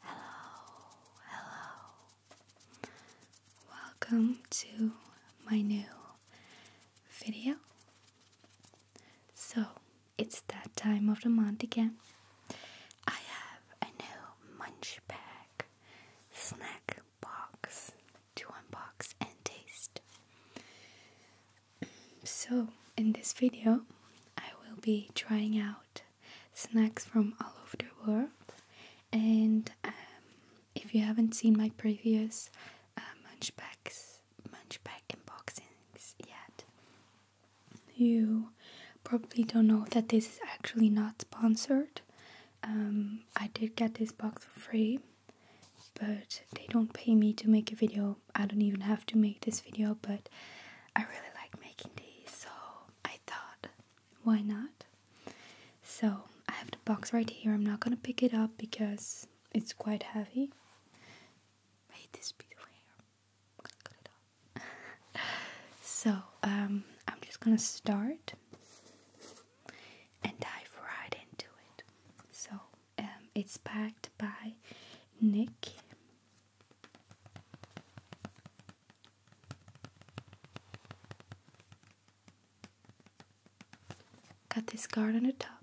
Hello, hello. Welcome to my new video. So, it's that time of the month again. I have a new munch bag snack box to unbox and taste. So, in this video, I will be trying out snacks from all over the world. And um, if you haven't seen my previous uh, Munchbacks, Munchback unboxings yet, you probably don't know that this is actually not sponsored. Um, I did get this box for free, but they don't pay me to make a video I don't even have to make this video, but I really like making these, so I thought, why not? So I have the box right here. I'm not gonna pick it up because it's quite heavy. Wait, this beautiful hair. I'm gonna cut it off. so um, I'm just gonna start and dive right into it. So um, it's packed by Nick. Got this card on the top.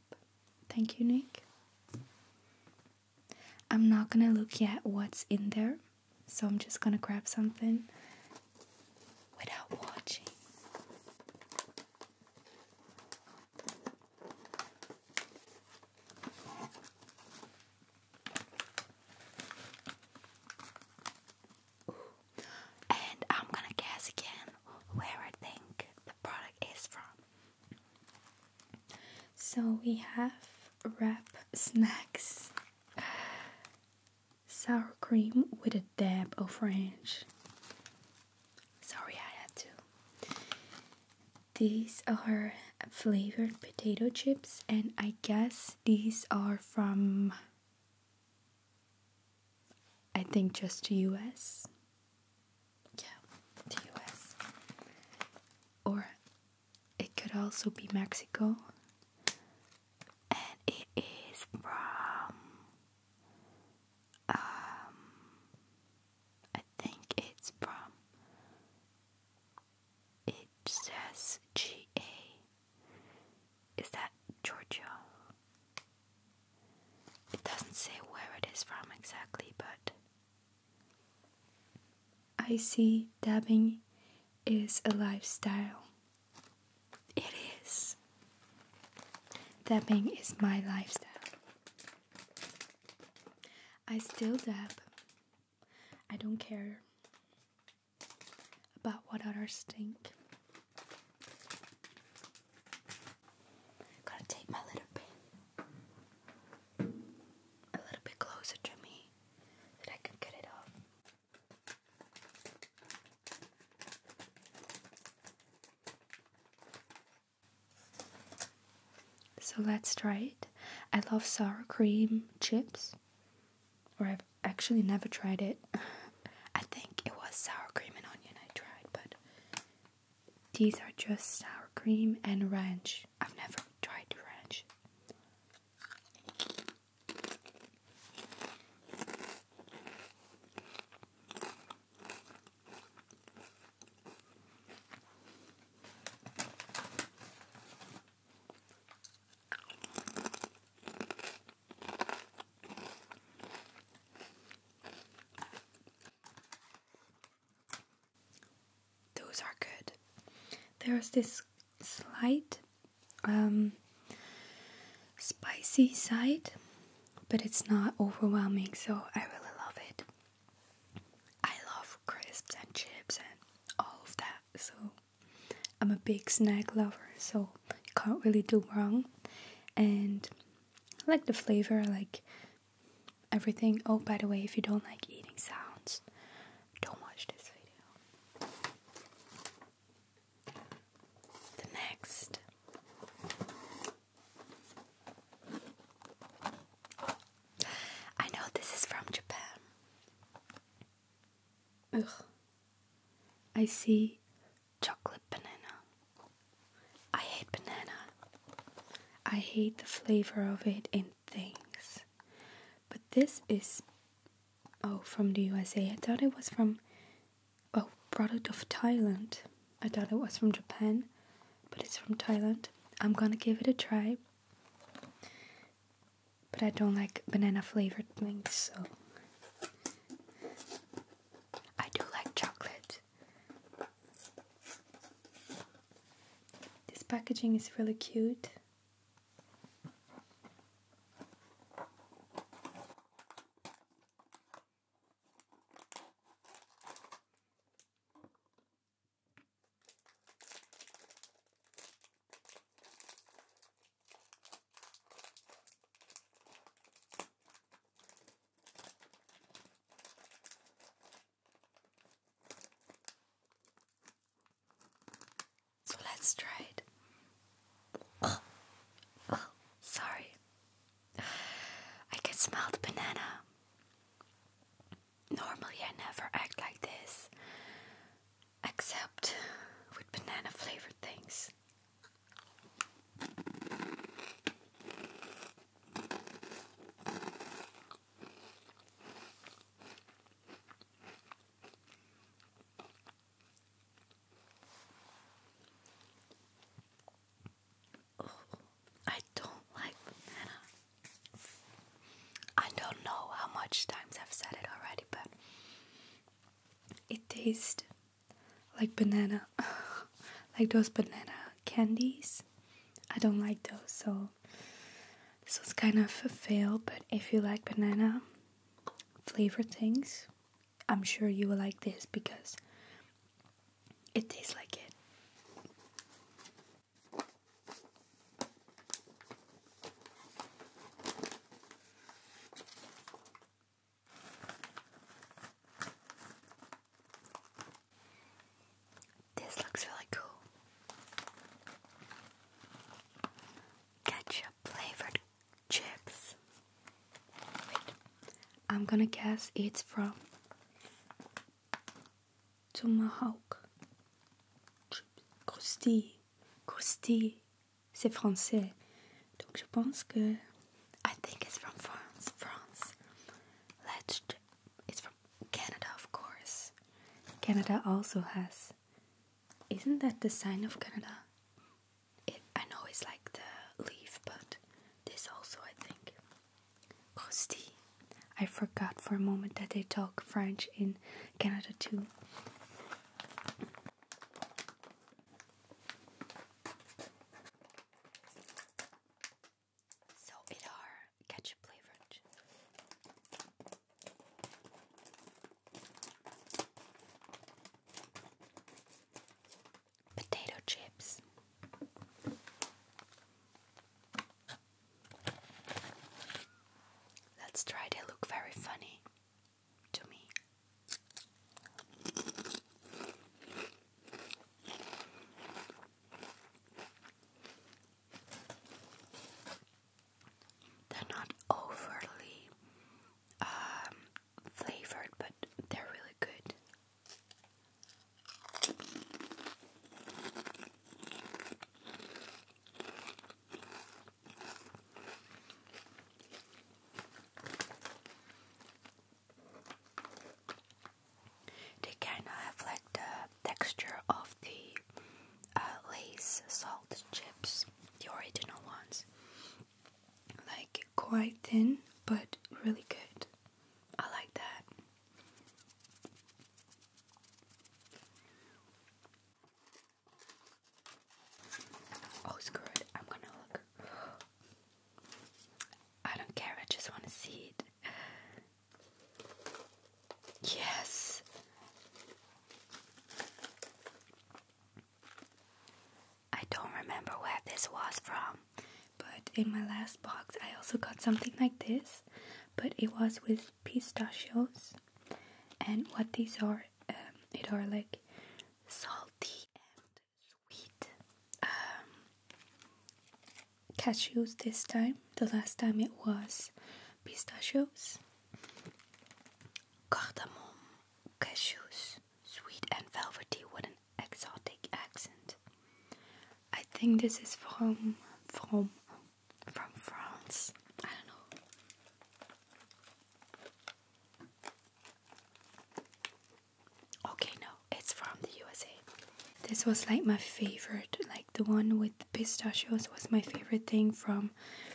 Thank you, Nick. I'm not gonna look yet what's in there, so I'm just gonna grab something without watching. And I'm gonna guess again where I think the product is from. So we have wrap snacks sour cream with a dab of French. Sorry, I had to. These are flavored potato chips, and I guess these are from, I think, just US. Yeah, the US. Or it could also be Mexico. And it is from. Um, I think it's from. It says GA. Is that Georgia? It doesn't say where it is from exactly, but. I see dabbing is a lifestyle. It is. Dabbing is my lifestyle. I still dab. I don't care about what others think. Gotta take my little pin a little bit closer to me that I can get it off. So let's try it. I love sour cream chips, or I've actually never tried it. I think it was sour cream and onion I tried, but these are just sour cream and ranch. I've never tried ranch. Those are good. There's this slight um, spicy side, but it's not overwhelming, so I really love it. I love crisps and chips and all of that, so I'm a big snack lover, so you can't really do wrong. And I like the flavor, like everything. Oh, by the way, if you don't like eating sounds, don't watch this video. The next I know this is from Japan. I see chocolate banana. I hate banana. I hate the flavor of it in things. But this is oh from the USA. I thought it was from oh product of Thailand. I thought it was from Japan, but it's from Thailand. I'm gonna give it a try. But I don't like banana flavored things, so. I do like chocolate. This packaging is really cute. So let's try it. Oh, sorry. I can smell the banana. Normally, I never act like this, except with banana flavored things. Oh, I don't like banana. I don't know how much times I've said it already, but it tastes like banana. like those banana candies. I don't like those, so this was kind of a fail. But if you like banana flavor things, I'm sure you will like this because it tastes like it. This looks really cool. Ketchup flavored chips. Wait, I'm gonna guess it's from Tomahawk. Croustille. Croustille. C'est français. Donc je pense que. I think it's from France. France. Let's. It's from Canada, of course. Canada also has. Isn't that the sign of Canada? I know it's like the leaf, but this also, I think. Costi. I forgot for a moment that they talk French in Canada too. So it are ketchup flavored potato chips. Let's try, they look very funny to me. They're not overly um, flavored, but they're really good. They kind of have like the texture of the uh, lace salt chips, the original ones. Like quite thin, but really good. I like that. Oh, screw it. I'm gonna look. I don't care. I just want to see it. Yes. I don't remember where this was from. But in my last box, I also got something like this, but it was with pistachios. And what these are, um, it are like salty and sweet um, cashews this time. The last time it was pistachios, cardamom, cashews, sweet and velvety. What an exotic accent! I think this is from from from France. I don't know. Okay, no, it's from the USA. This was like my favorite, like the one with the pistachios was my favorite thing from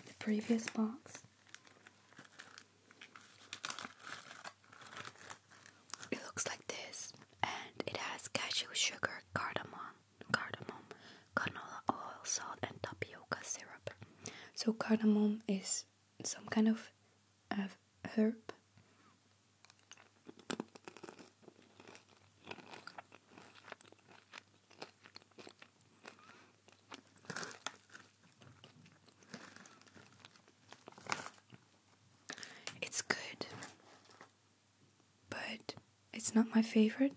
the previous box. It looks like this, and it has cashew sugar, cardamom, cardamom, canola oil, salt, and tapioca syrup. So cardamom is some kind of herb. It's good, but it's not my favorite,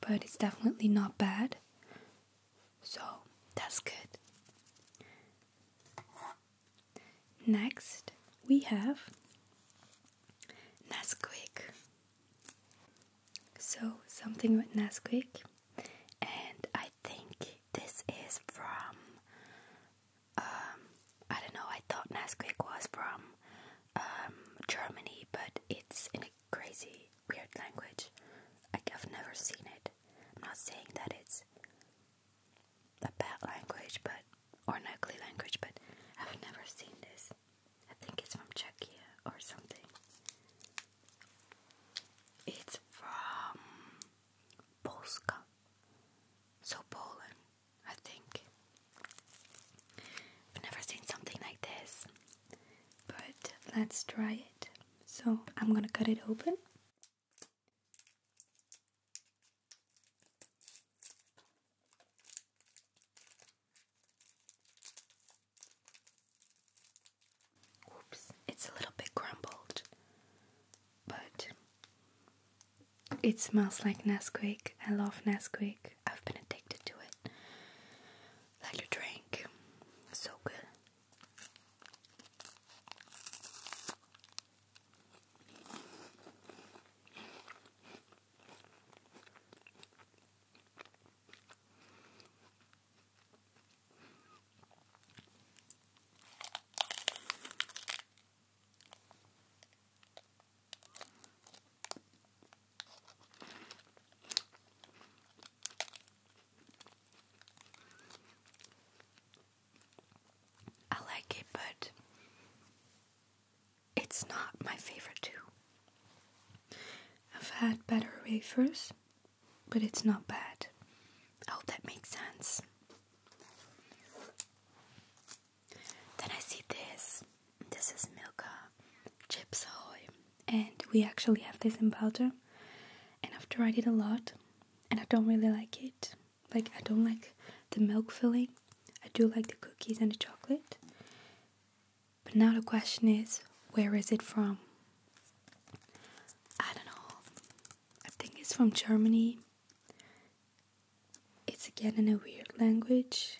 but it's definitely not bad. So that's good. Next, we have Nesquik. So, something with Nesquik, and I think this is from um, I don't know, I thought Nesquik was from um, Germany, but it's in a crazy, weird language. Like, I've never seen it. I'm not saying that it's a bad language, but or an ugly language, but I've never seen this. I think it's from Czechia or something. It's from Polska. So Poland, I think. I've never seen something like this. But let's try it. So I'm gonna cut it open. Oops, it's a little bit crumbled, but it smells like Nesquik. I love Nesquik. I've been addicted to it. Like a drink. So good. I like it, but it's not my favorite, too. I've had better wafers, but it's not bad. I hope that makes sense. Then I see this. This is Milka uh, Chips Ahoy. And we actually have this in Belgium. And I've tried it a lot. And I don't really like it. Like, I don't like the milk filling. I do like the cookies and the chocolate. But now the question is, where is it from? I don't know. I think it's from Germany it's again in a weird language.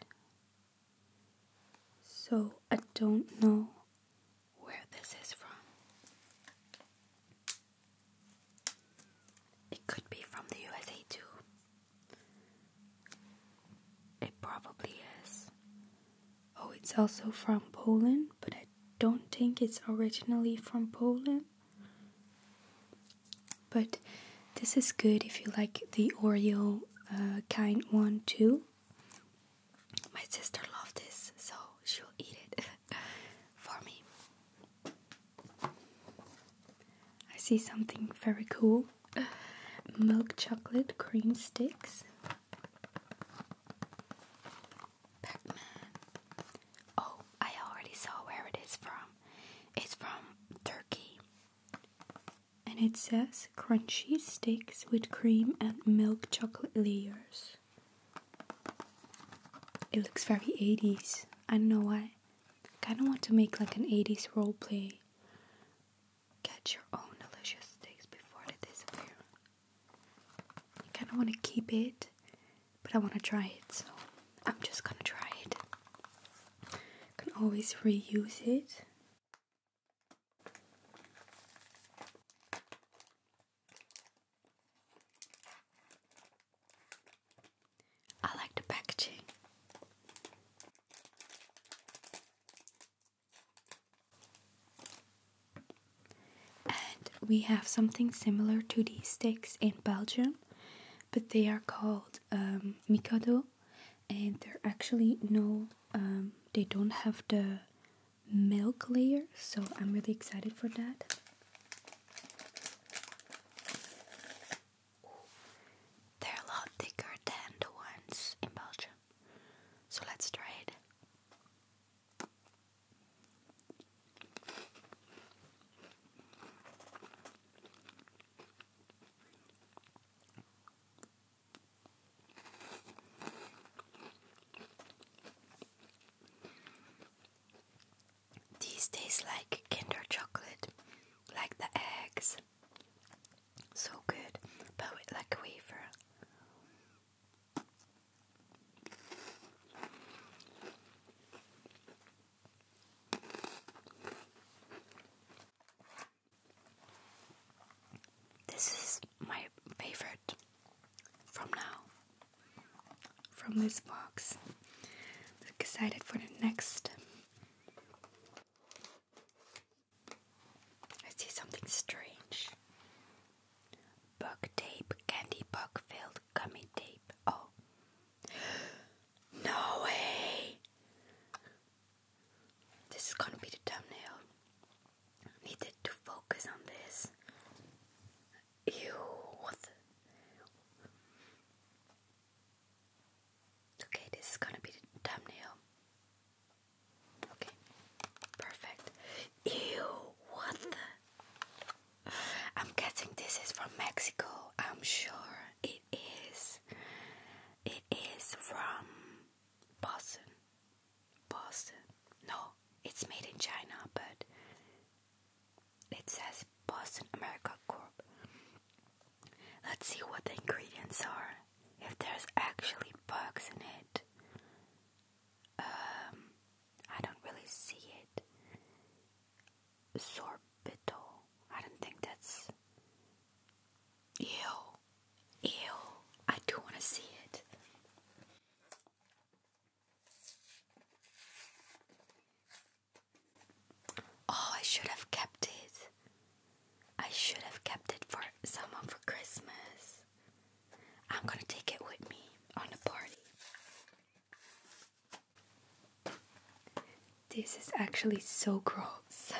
So I don't know where this is from. It could be from the USA too. It probably is. Oh, it's also from Poland, but I don't think it's originally from Poland. But this is good if you like the Oreo uh, kind one too. My sister loved this, so she'll eat it for me. I see something very cool milk chocolate cream sticks pac Oh, I already saw where it is from. It's from Turkey. And it says crunchy sticks with cream and milk chocolate layers. It looks very 80s. I don't know I kind of want to make like an 80s role play. Get your own delicious sticks before they disappear. I kind of want to keep it but I want to try it, so I'm just gonna try it. Can always reuse it. I like the packaging. And we have something similar to these sticks in Belgium but they are called um, Mikado, and they're actually no, um, they don't have the milk layer, so I'm really excited for that. They're a lot thicker than the ones in Belgium, so let's try it. These taste like Kinder chocolate, like the eggs. So good, but like wafer. This is my favorite from now, from this box. i excited for the next. I see something strange. Bug tape candy bug filled gummy tape. Oh, no way! This is gonna be the thumbnail. Needed to focus on this. Ew, Okay, this is gonna be the thumbnail. Okay, perfect. Ew, what the? I'm guessing this is from Mexico. I'm sure it is. It is from Boston. Boston. No, it's made in China, but it says Boston America Corp. Let's see what the ingredients are. If there's actually bugs in it. Um I don't really see it sorbitol. I don't think that's. Ew. Ew. I do want to see it. Oh, I should have kept it. I should have kept it for someone for Christmas. I'm gonna take it with me on the party. This is actually so gross.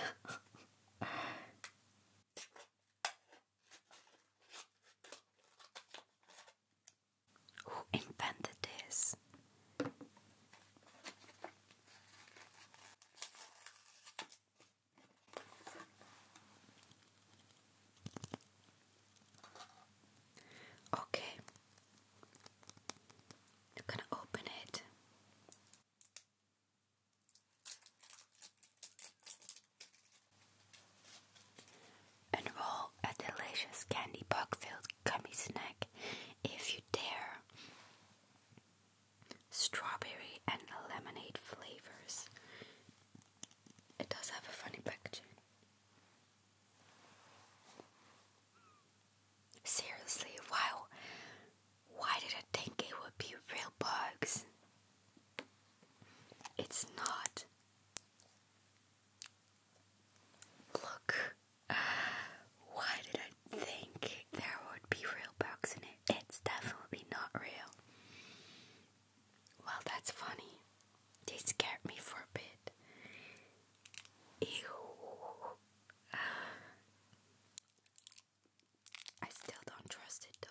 Who invented this? Okay, I'm going to open it. Enroll a delicious candy bug filled gummy snack if you dare. Strawberry and lemonade flavors. It does have a funny packaging. Seriously, wow. Why did I think it would be real bugs? It's not. Look. Why did I think there would be real bugs in it? It's definitely not real. Well, that's funny. They scared me for a bit. Ew. I still don't trust it though.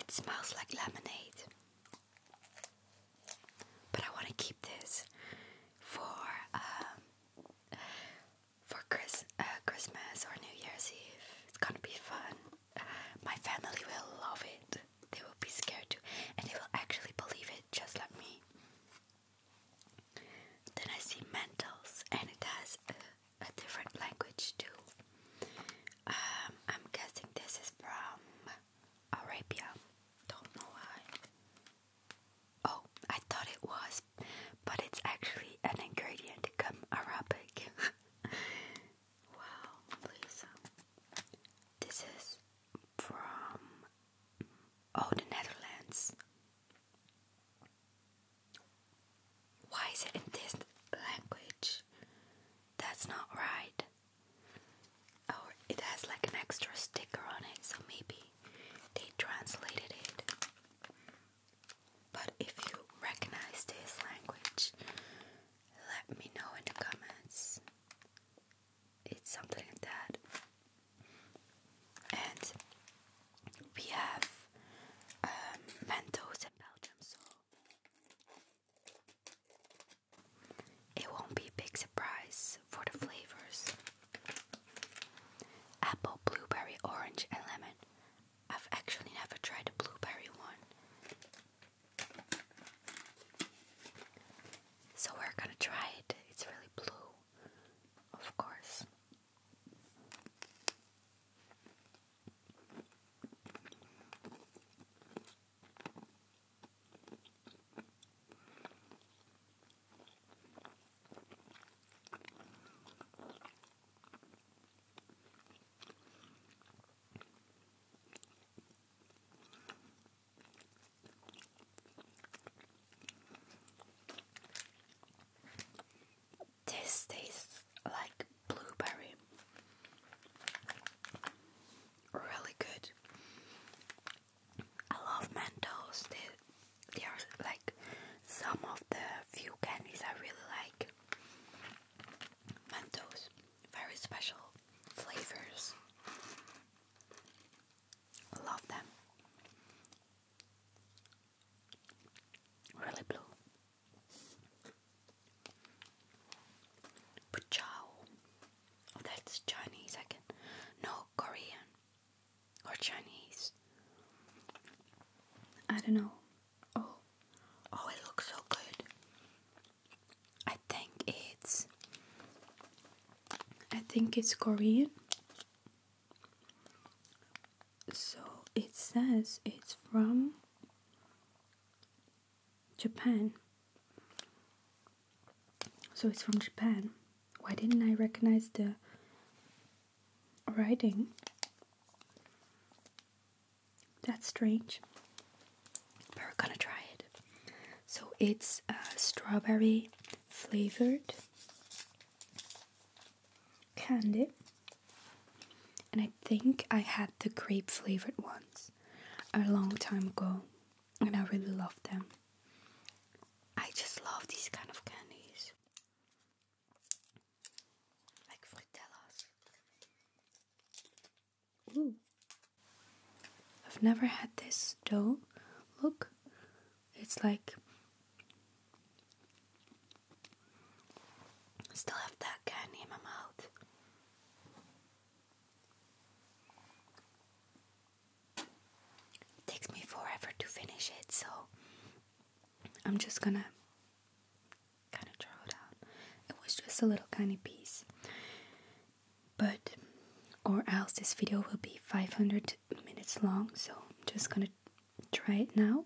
It smells like lemonade. But I want to keep this for um for Chris uh, Christmas or New Year's Eve. It's gonna be fun my family will love it. They will be scared too, and they will actually believe it just like me. Then I see Mentals, and it has a, different language too. Um, I'm guessing this is from Arabia. Don't know why. Oh, I thought it was, but it's actually an ingredient come Arabic. Wow, Lisa. This is from Oh the Netherlands. Why is it in this language? That's not right. Oh, it has like an extra sticker on it, so maybe they translated it. But if you recognize this language, let me know in the comments. It's something like that. And we have um, Mentos in Belgium, so it won't be a big surprise for the flavors. Apple, blueberry, orange, and lemon. I've actually never tried the blueberry one. So we're gonna try it. It's really blue, of course. This tastes like blueberry. Really good. I love Mentos. They, they are like some of the few candies I really like. Mentos very special flavors. Love them. Really blue. Puchao. Oh, that's Chinese. I can. No, Korean. Or Chinese. I don't know. Oh, oh, it looks so good. I think it's. I think it's Korean. So it says it's from Japan. So it's from Japan. Why didn't I recognize the writing? That's strange. But we're gonna try it. So it's uh, strawberry flavored candy. And I think I had the grape flavored ones a long time ago. And I really loved them. I just love these kind of candies. Like fritellas. Ooh. I've never had this dough. Look, it's like. still have that candy in my mouth. takes me forever to finish it, so I'm just gonna kind of draw it out. It was just a little tiny piece. But, or else this video will be 500 minutes long, so I'm just gonna try it now.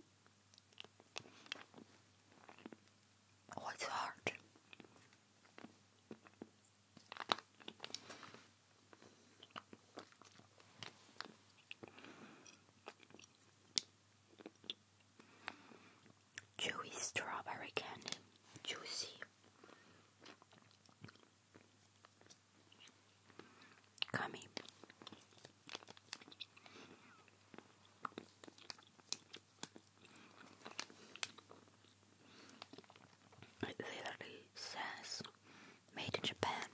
Oh, it's hard. Chewy strawberry candy, juicy. Gummy. It literally says made in Japan.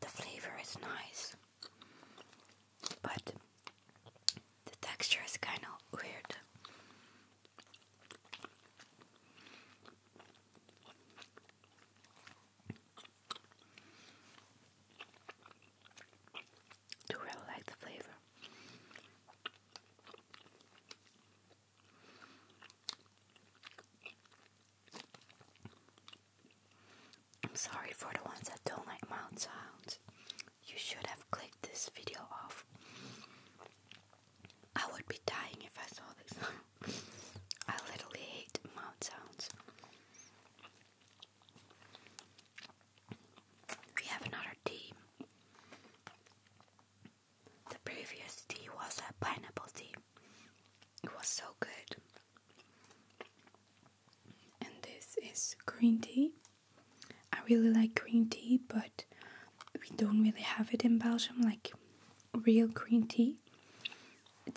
The flavor is nice, but the texture is kind of weird. Do really like the flavor. I'm sorry for the ones that don't like mouth sounds. You should have clicked this video off. I would be dying if I saw this. I literally hate mouth sounds. We have another tea. The previous tea was a pineapple tea. It was so good. And this is green tea. I really like green tea, but we don't really have it in Belgium. Like, real green tea,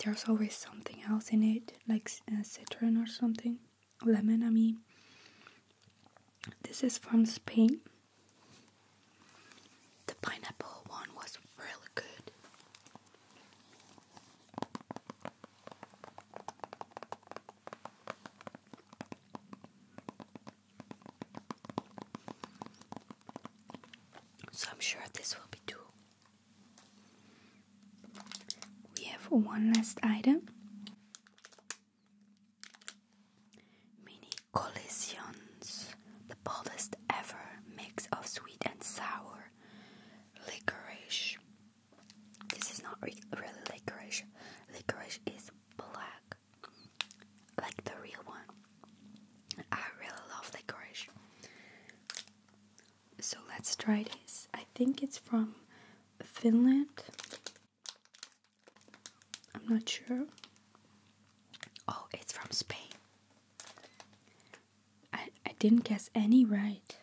there's always something else in it, like uh, citron or something, lemon, I mean. This is from Spain. The pineapple one was really good. So I'm sure this will be two. We have one last item Mini Collisions, the boldest ever mix of sweet and sour licorice. This is not really licorice, licorice is black, like the real one. I really love licorice. So let's try this. I think it's from Finland. I'm not sure. Oh, it's from Spain. I, I didn't guess any right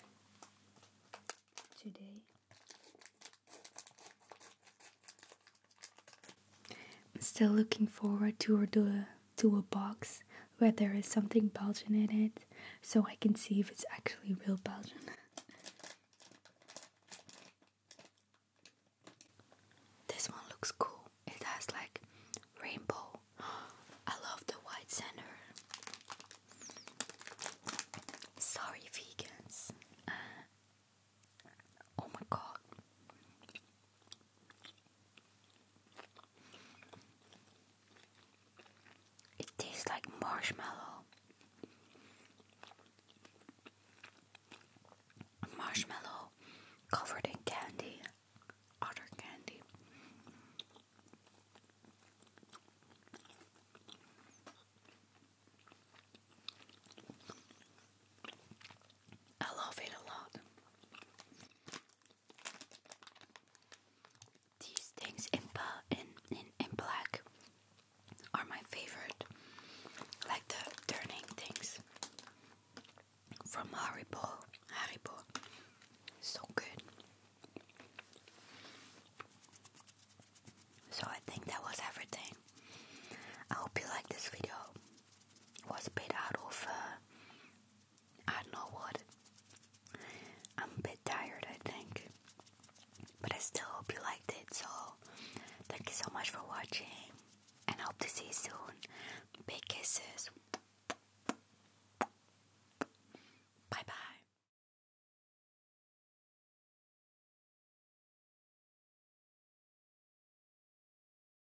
today. I'm still looking forward to a, to a box where there is something Belgian in it so I can see if it's actually real Belgian. this one looks cool. It has like rainbow. I love the white center. Sorry, vegans. Uh, oh my god. It tastes like marshmallow. Marshmallow covered in candy, otter candy. I love it a lot. These things in, black are my favorite, like the turning things from Harry Potter, so good. So I think that was everything. I hope you liked this video. It was a bit out of uh, I don't know what. I'm a bit tired, I think. But I still hope you liked it. So, thank you so much for watching. And hope to see you soon. Big kisses. Bye bye.